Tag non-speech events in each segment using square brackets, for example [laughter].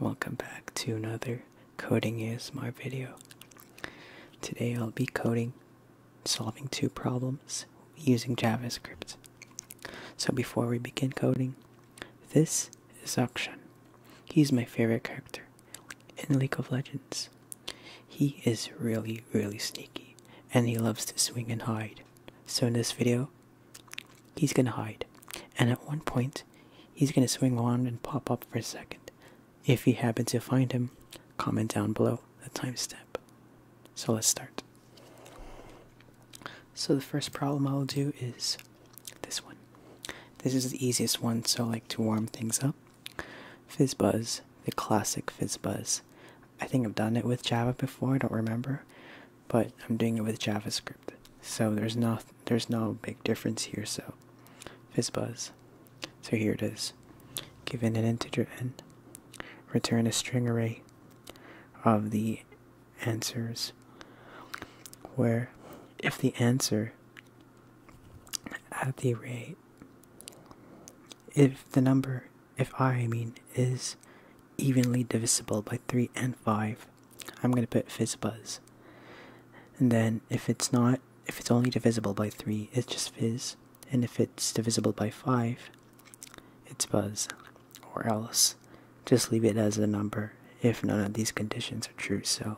Welcome back to another coding is my video. Today I'll be coding, solving two problems using JavaScript. So before we begin coding, this is Akshan. He's my favorite character in League of Legends. He is really, really sneaky and he loves to swing and hide. So in this video, he's going to hide. And at one point, he's going to swing around and pop up for a second. If you happen to find him, comment down below the time timestamp. So let's start. So the first problem I'll do is this one. This is the easiest one, so like to warm things up. Fizz Buzz, the classic Fizz Buzz. I think I've done it with Java before, I don't remember, but I'm doing it with JavaScript. So there's not there's no big difference here. So fizzbuzz. So here it is. Given an integer n, return a string array of the answers where if the answer at the array if the number if i mean is evenly divisible by 3 and 5 I'm going to put fizz buzz. And then if it's not, if it's only divisible by 3, it's just fizz. And if it's divisible by 5, it's buzz. Or else, just leave it as a number if none of these conditions are true. So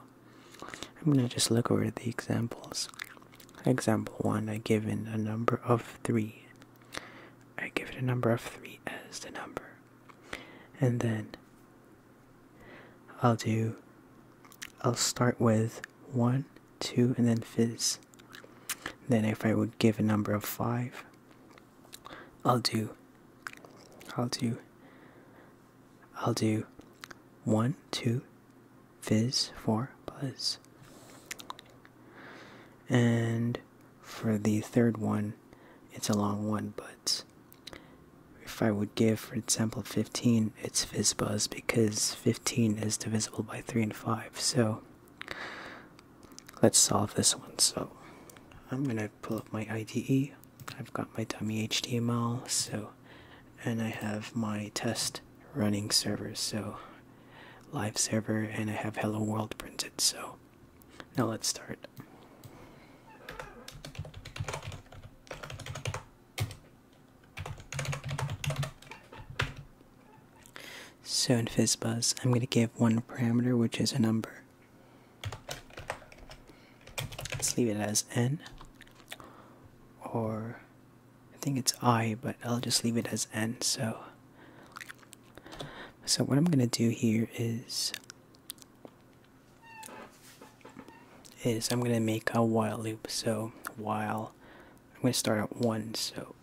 I'm going to just look over the examples. Example 1, I give it a number of 3. I give it a number of 3 as the number. And then I'll do, I'll start with 1, 2, and then fizz. Then if I would give a number of 5, I'll do, I'll do, I'll do 1, 2, fizz, 4, buzz. And for the third one, it's a long one, but if I would give, for example, 15 its FISBUS because 15 is divisible by 3 and 5. So let's solve this one. So I'm going to pull up my IDE. I've got my dummy HTML, so and I have my test running server, so live server, and I have hello world printed. So now let's start. So in FizzBuzz, I'm going to give one parameter, which is a number. Let's leave it as n, or I think it's i, but I'll just leave it as n. So, so what I'm going to do here is is I'm gonna make a while loop. So while I'm gonna start at one. So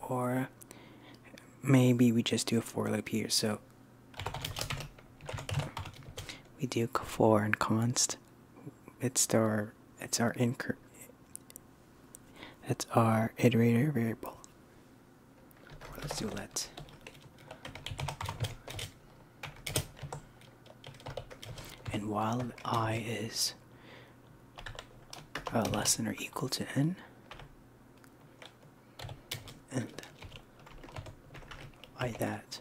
or maybe we just do a for loop here. So we do four and const. It's our it's our incre that's our iterator variable. Let's do let. And while i is uh, less than or equal to n, and i that.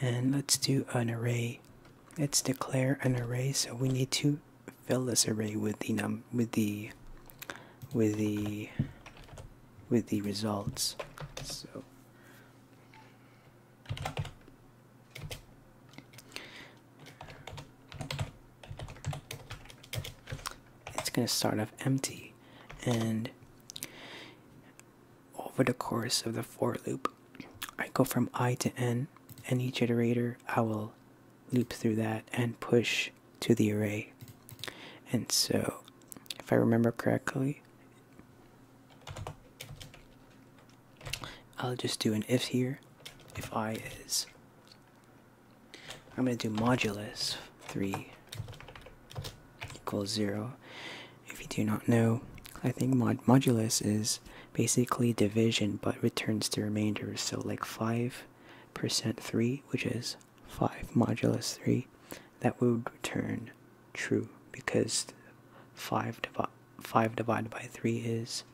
And let's do an array. Let's declare an array, so we need to fill this array with the num with the with the with the results. So it's going to start off empty and over the course of the for loop I go from i to n and each iterator I will loop through that and push to the array. And so, if I remember correctly, I'll just do an if here. If i is, I'm going to do modulus 3 equals 0. If you do not know, I think mod modulus is basically division but returns the remainder. So like 5% 3, which is 5 modulus 3, that would return true because 5 5 divided by 3 is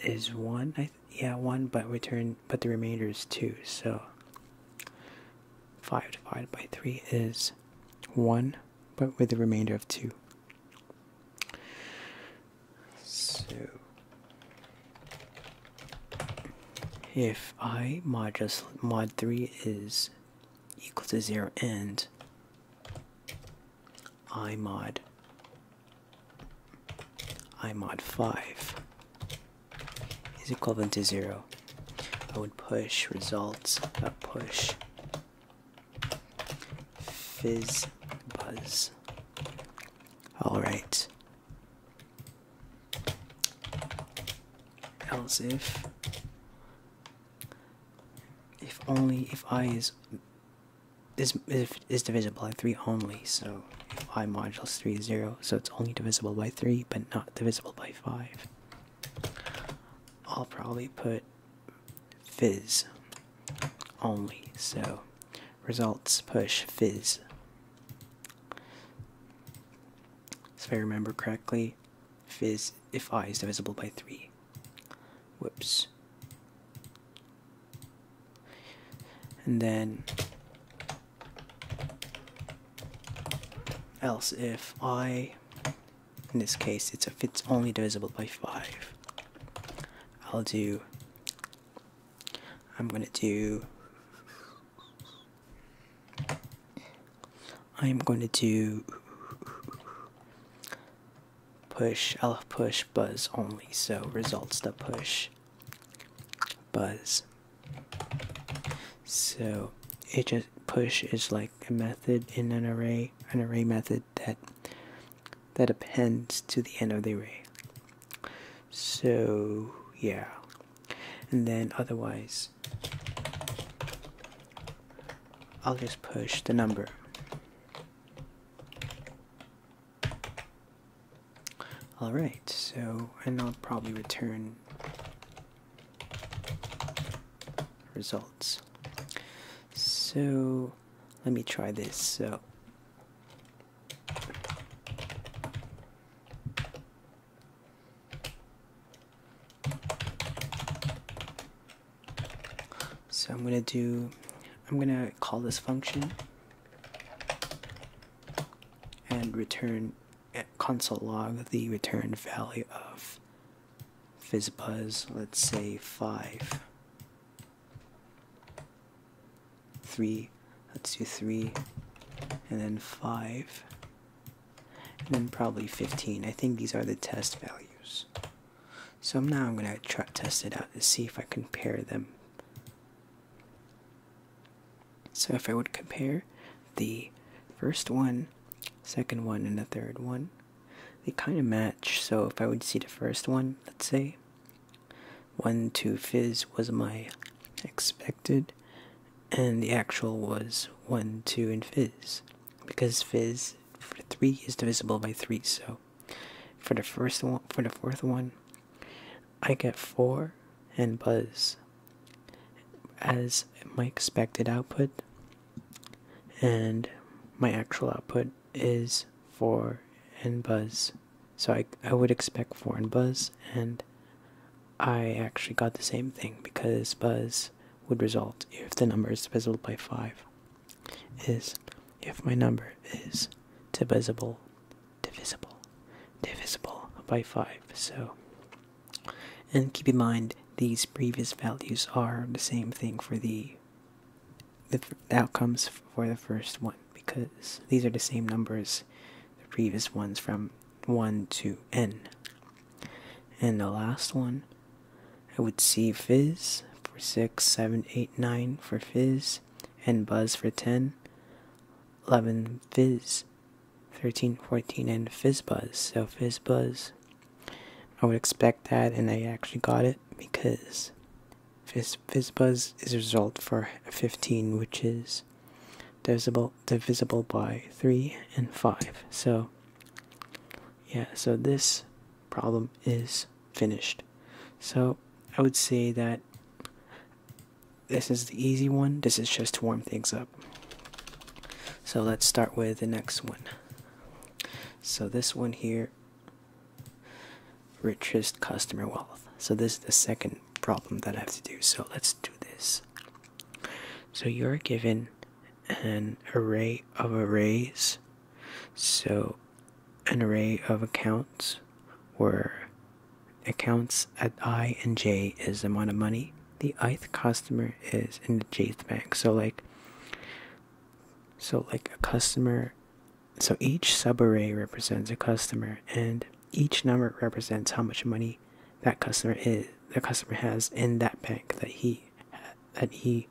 is 1 I yeah 1 but return but the remainder is 2 so 5 divided by 3 is 1 but with a remainder of 2 so if i mod mod 3 is equal to 0 and i mod i mod 5 is equal to 0 i would push results push Fizz Buzz. Alright. Else if. If only if I is is if is divisible by three only, so if I modulus three is zero, so it's only divisible by three, but not divisible by five. I'll probably put fizz only. So results push fizz. If I remember correctly, fizz if i is divisible by 3. Whoops. And then else if i in this case it's if it's only divisible by 5 I'll do. I'm gonna do. I'm going to do push I'll push buzz only, so results the push buzz. So it just push is like a method in an array. An array method that that appends to the end of the array. So yeah, and then otherwise, I'll just push the number. All right, so and I'll probably return results. So let me try this. So so I'm gonna do I'm gonna call this function and return eh, console log the return value of fizzbuzz let's say 5 three, let's do three, and then five, and then probably 15. I think these are the test values. So now I'm going to test it out to see if I compare them. So if I would compare the first one, second one, and the third one, they kind of match, so if I would see the first one, let's say, 1 2 Fizz was my expected, and the actual was 1 2 and Fizz. Because Fizz for 3 is divisible by 3, so for the first one, for the fourth one, I get 4 and Buzz as my expected output and my actual output is 4 and Buzz. So I, I would expect 4 and Buzz, and I actually got the same thing because Buzz would result if the number is divisible by 5 is if my number is divisible, divisible, divisible by 5. So, and keep in mind these previous values are the same thing for the the, outcomes for the first one because these are the same numbers the previous ones from 1 to n. And the last one, I would see fizz for 6, 7, 8, 9 for fizz, and buzz for 10, 11 fizz, 13, 14, and fizz buzz. So fizz buzz, I would expect that, and I actually got it because this Fizzbuzz is result for 15, which is divisible, divisible by 3 and 5. So, yeah, so this problem is finished. So, I would say that this is the easy one. This is just to warm things up. So let's start with the next one. So this one here richest customer wealth. So this is the second problem that I have to do. So let's do this. So you're given an array of arrays. So an array of accounts where accounts at I and J is amount of money. The ith customer is in the jth bank. So like so like a customer so each subarray represents a customer and each number represents how much money that customer is the customer has in that bank that he that he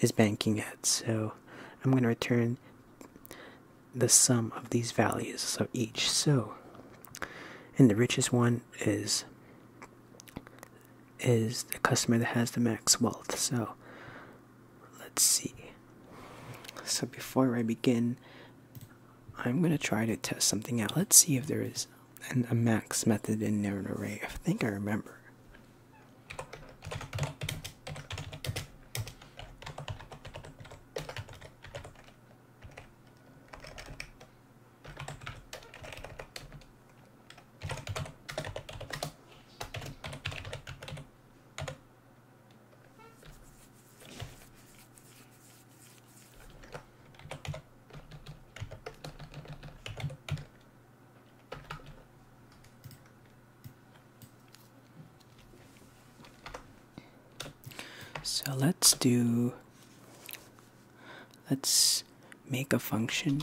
is banking at so i'm going to return the sum of these values of each so and the richest one is is the customer that has the max wealth so let's see. So before I begin, I'm gonna try to test something out. Let's see if there is an, a max method in there an array. I think I remember. So let's do, let's make a function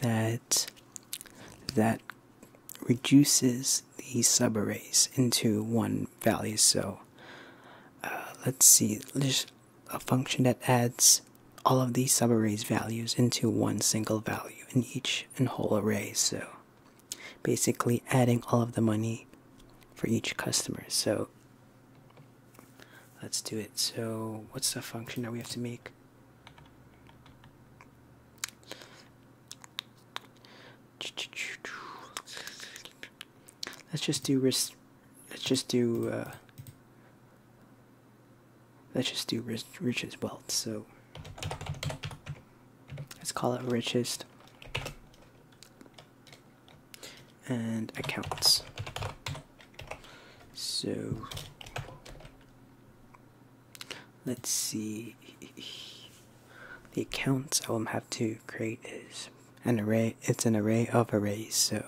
that that reduces the subarrays into one value. So uh, let's see, there's a function that adds all of these subarrays values into one single value in each and whole array. So basically adding all of the money for each customer. So Let's do it. So what's the function that we have to make? Let's just do risk. Let's just do. Uh, let's just do rich, richest wealth. So let's call it richest and accounts. So let's see. The accounts I will have to create is an array. It's an array of arrays. So,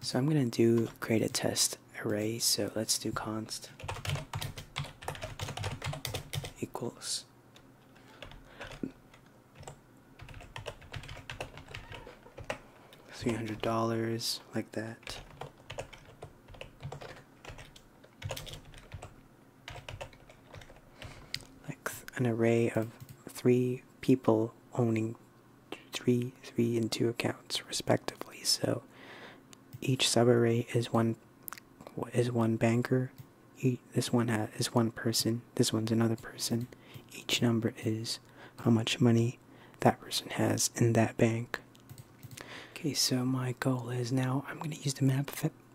so I'm gonna do create a test array. So let's do const equals $300, like that. Like an array of three people owning three, three, and two accounts, respectively. So each subarray is one is one banker. Each, this one has, is one person this one's another person. Each number is how much money that person has in that bank. Okay, so my goal is now I'm going to use the map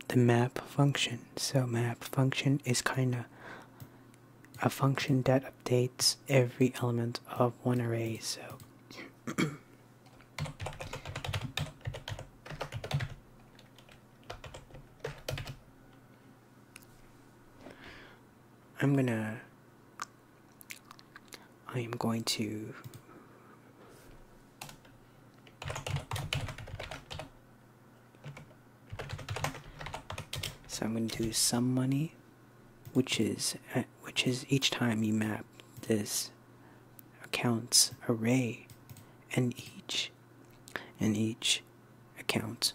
the map function. So map function is kind of a function that updates every element of one array. So I'm gonna I am going to so I'm going to do some money which is uh, which is each time you map this accounts array and each in each account.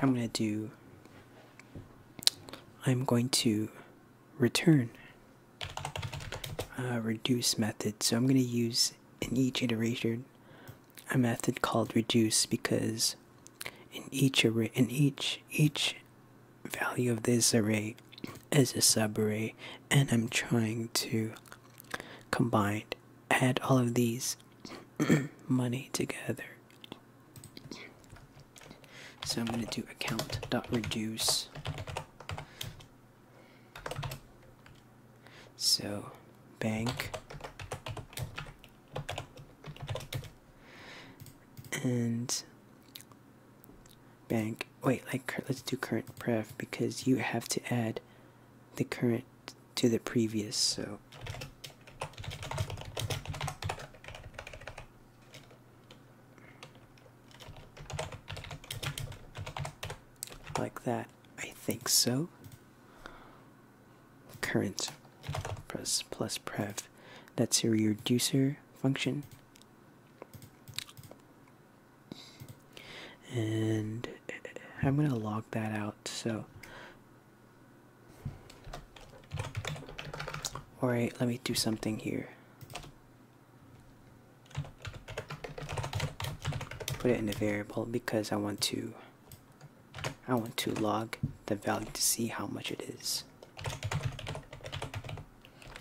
I'm going to do, I'm going to return a uh, reduce method. So I'm going to use in each iteration a method called reduce because in each array, in each, each value of this array as a subarray, and i'm trying to combine add all of these [clears throat] money together so i'm going to do account dot reduce so bank and bank wait, like let's do current pref because you have to add the current to the previous, so like that. I think so. Current plus pref. That's your reducer function and I'm gonna log that out so alright let me do something here put it in a variable because I want to I want to log the value to see how much it is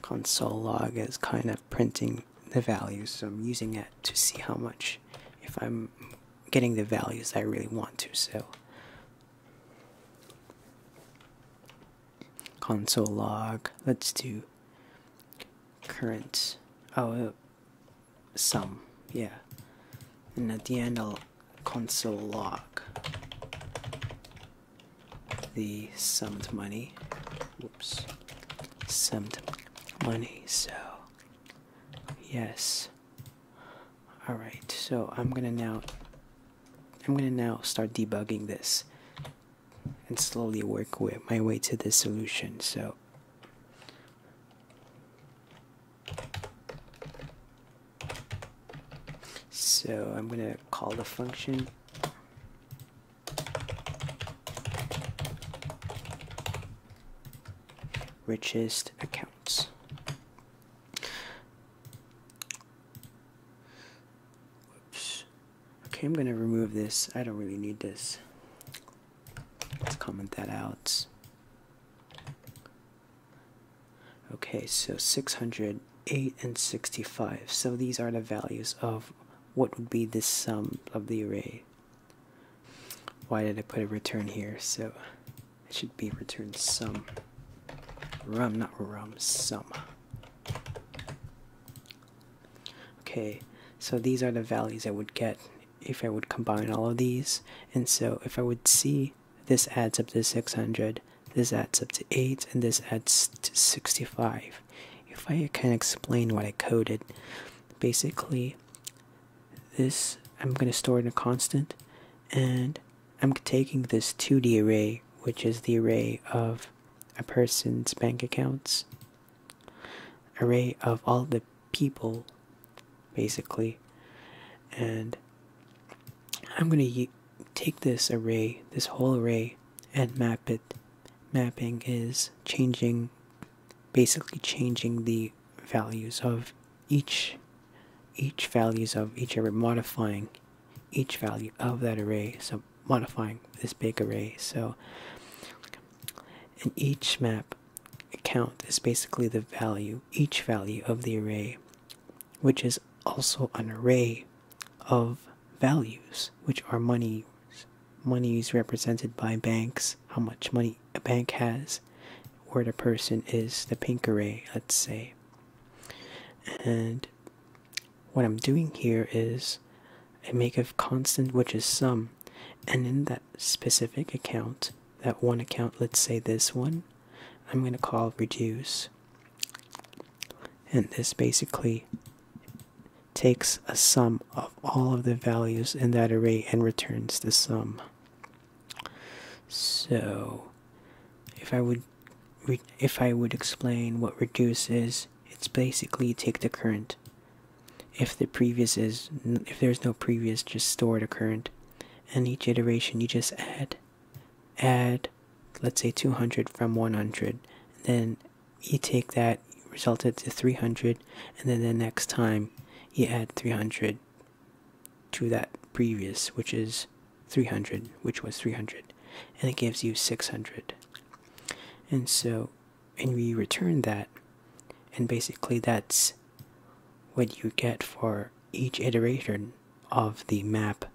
console log is kind of printing the values, so I'm using it to see how much if I'm getting the values I really want to. So console log, let's do current oh uh, sum, yeah. And at the end I'll console log the summed money oops, some money. So, yes. All right. So I'm gonna now, I'm gonna now start debugging this, and slowly work my way to the solution. So. So I'm gonna call the function Richest accounts. Okay, I'm gonna remove this. I don't really need this. Let's comment that out. Okay, so 608 and 65. So these are the values of what would be the sum of the array? Why did I put a return here? So it should be return sum. Rum, not rum, sum. Okay, so these are the values I would get if I would combine all of these. And so if I would see this adds up to 600, this adds up to 8, and this adds to 65 if I can explain what I coded, basically, this I'm going to store in a constant, and I'm taking this 2D array, which is the array of a person's bank accounts, array of all the people, basically, and I'm going to take this array, this whole array, and map it mapping is changing basically changing the values of each each values of each array modifying each value of that array so modifying this big array so in each map account is basically the value each value of the array which is also an array of values which are monies money is represented by banks, how much money a bank has, where the person is, the pink array, let's say. And what I'm doing here is I make a constant which is sum, and in that specific account, that one account, let's say this one, I'm going to call reduce. And this basically takes a sum of all of the values in that array and returns the sum. So if I would if I would explain what reduce is, it's basically take the current. If the previous is if there's no previous, just store the current. And each iteration you just add add let's say 200 from 100 then you take that resulted to 300 and then the next time you add 300 to that previous which is 300 which was 300 and it gives you 600 and so and we return that and basically that's what you get for each iteration of the map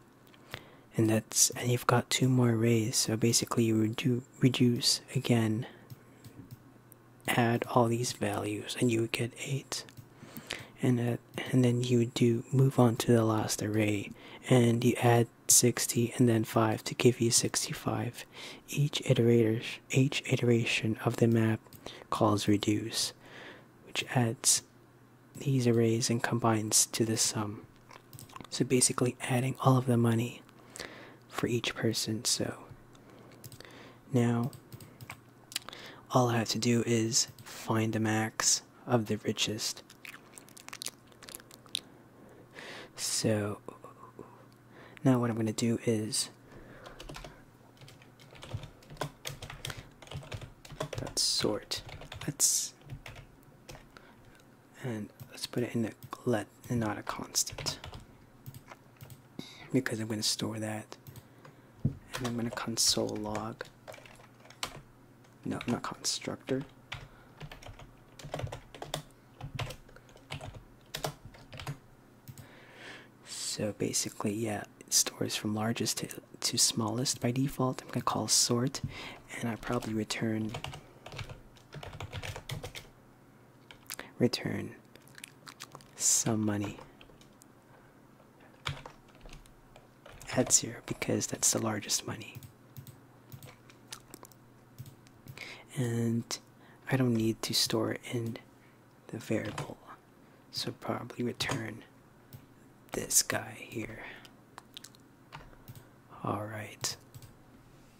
and that's and you've got two more rays, so basically you would do reduce again add all these values and you would get 8 and uh, and then you would do move on to the last array and you add 60 and then 5 to give you 65 each iterator each iteration of the map calls reduce which adds these arrays and combines to the sum so basically, adding all of the money for each person. So now, all I have to do is find the max of the richest. So now, what I'm going to do is let's sort. Let's and let's put it in a let and not a constant because I'm going to store that and I'm going to console log no not constructor so basically yeah stores from largest to, to smallest by default I'm going to call sort and I probably return Return some money at zero because that's the largest money. And I don't need to store it in the variable, so probably return this guy here. Alright.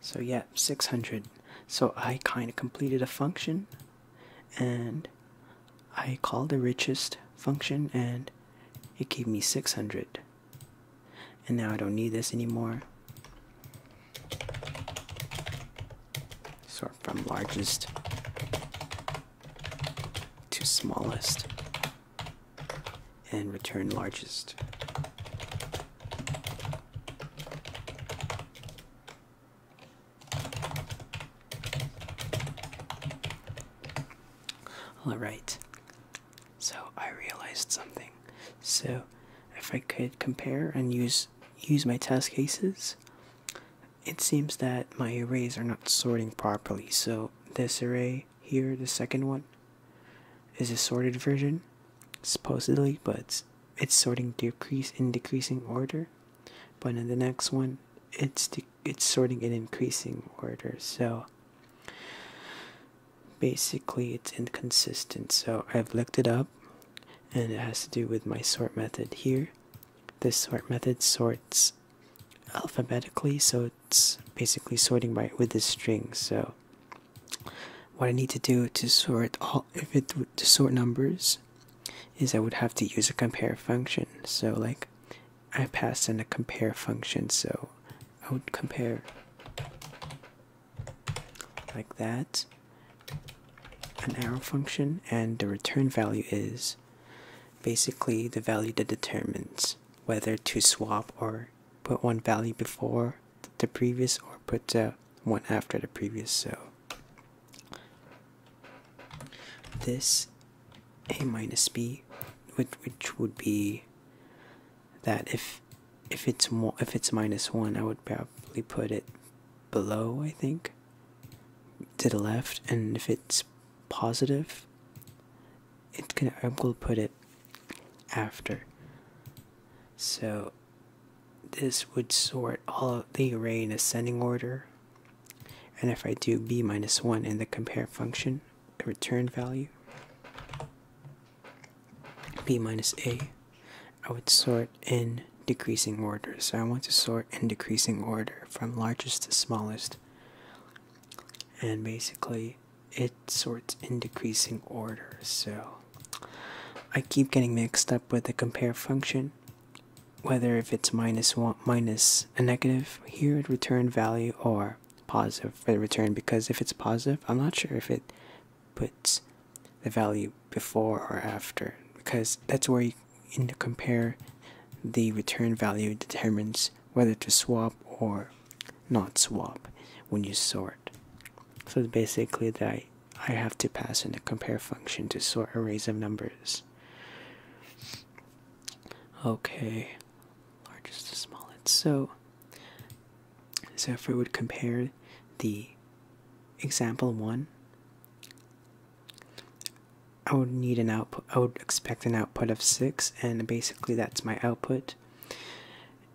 So yeah, 600. So I kind of completed a function and I called the richest function and it gave me 600. And now I don't need this anymore. Sort from largest to smallest and return largest. Alright, so I realized something. So if I could compare and use use my test cases, it seems that my arrays are not sorting properly. So this array here, the second one, is a sorted version, supposedly, but it's sorting decrease in decreasing order. But in the next one, it's it's sorting in increasing order. So basically, it's inconsistent. So I've looked it up, and it has to do with my sort method here. This sort method sorts alphabetically, so it's basically sorting by with the string. So what I need to do to sort all if it to sort numbers is I would have to use a compare function. So like I pass in a compare function, so I would compare like that an arrow function and the return value is basically the value that determines whether to swap or put one value before the previous or put the uh, one after the previous so this a minus b which, would be that if if it's if it's minus one I would probably put it below I think to the left and if it's positive it can I gonna put it after so this would sort all of the array in ascending order. And if I do b minus 1 in the compare function, the return value, b minus a, I would sort in decreasing order. So I want to sort in decreasing order from largest to smallest. And basically, it sorts in decreasing order. So I keep getting mixed up with the compare function. Whether if it's minus one minus a negative here it return value or positive for the return because if it's positive I'm not sure if it puts the value before or after because that's where in the compare the return value determines whether to swap or not swap when you sort so basically that I, have to pass in the compare function to sort arrays of numbers. Okay, largest to smallest. So, so if we would compare the example one, I would need an output. I would expect an output of six, and basically that's my output.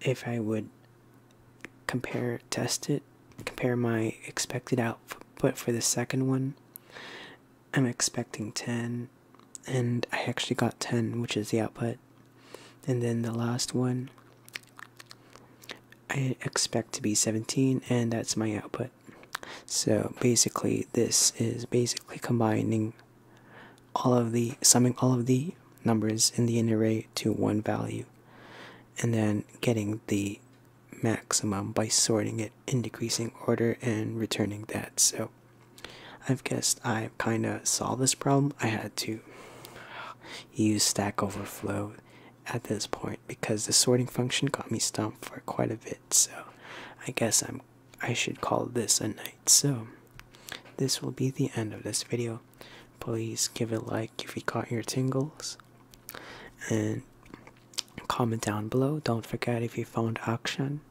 If I would compare test it compare my expected output for the second one i'm expecting 10 and i actually got 10 which is the output and then the last one i expect to be 17 and that's my output so basically this is basically combining all of the summing all of the numbers in the array to one value and then getting the maximum by sorting it in decreasing order and returning that. So I've guessed I kind of solved this problem. I had to use Stack Overflow at this point because the sorting function got me stumped for quite a bit. So I guess I'm I should call this a night. So this will be the end of this video. Please give it like if you caught your tingles and comment down below don't forget if you found action,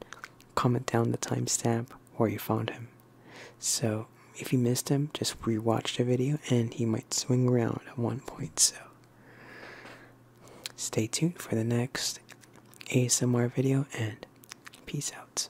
comment down the timestamp where you found him so if you missed him just rewatch the video and he might swing around at one point so stay tuned for the next asmr video and peace out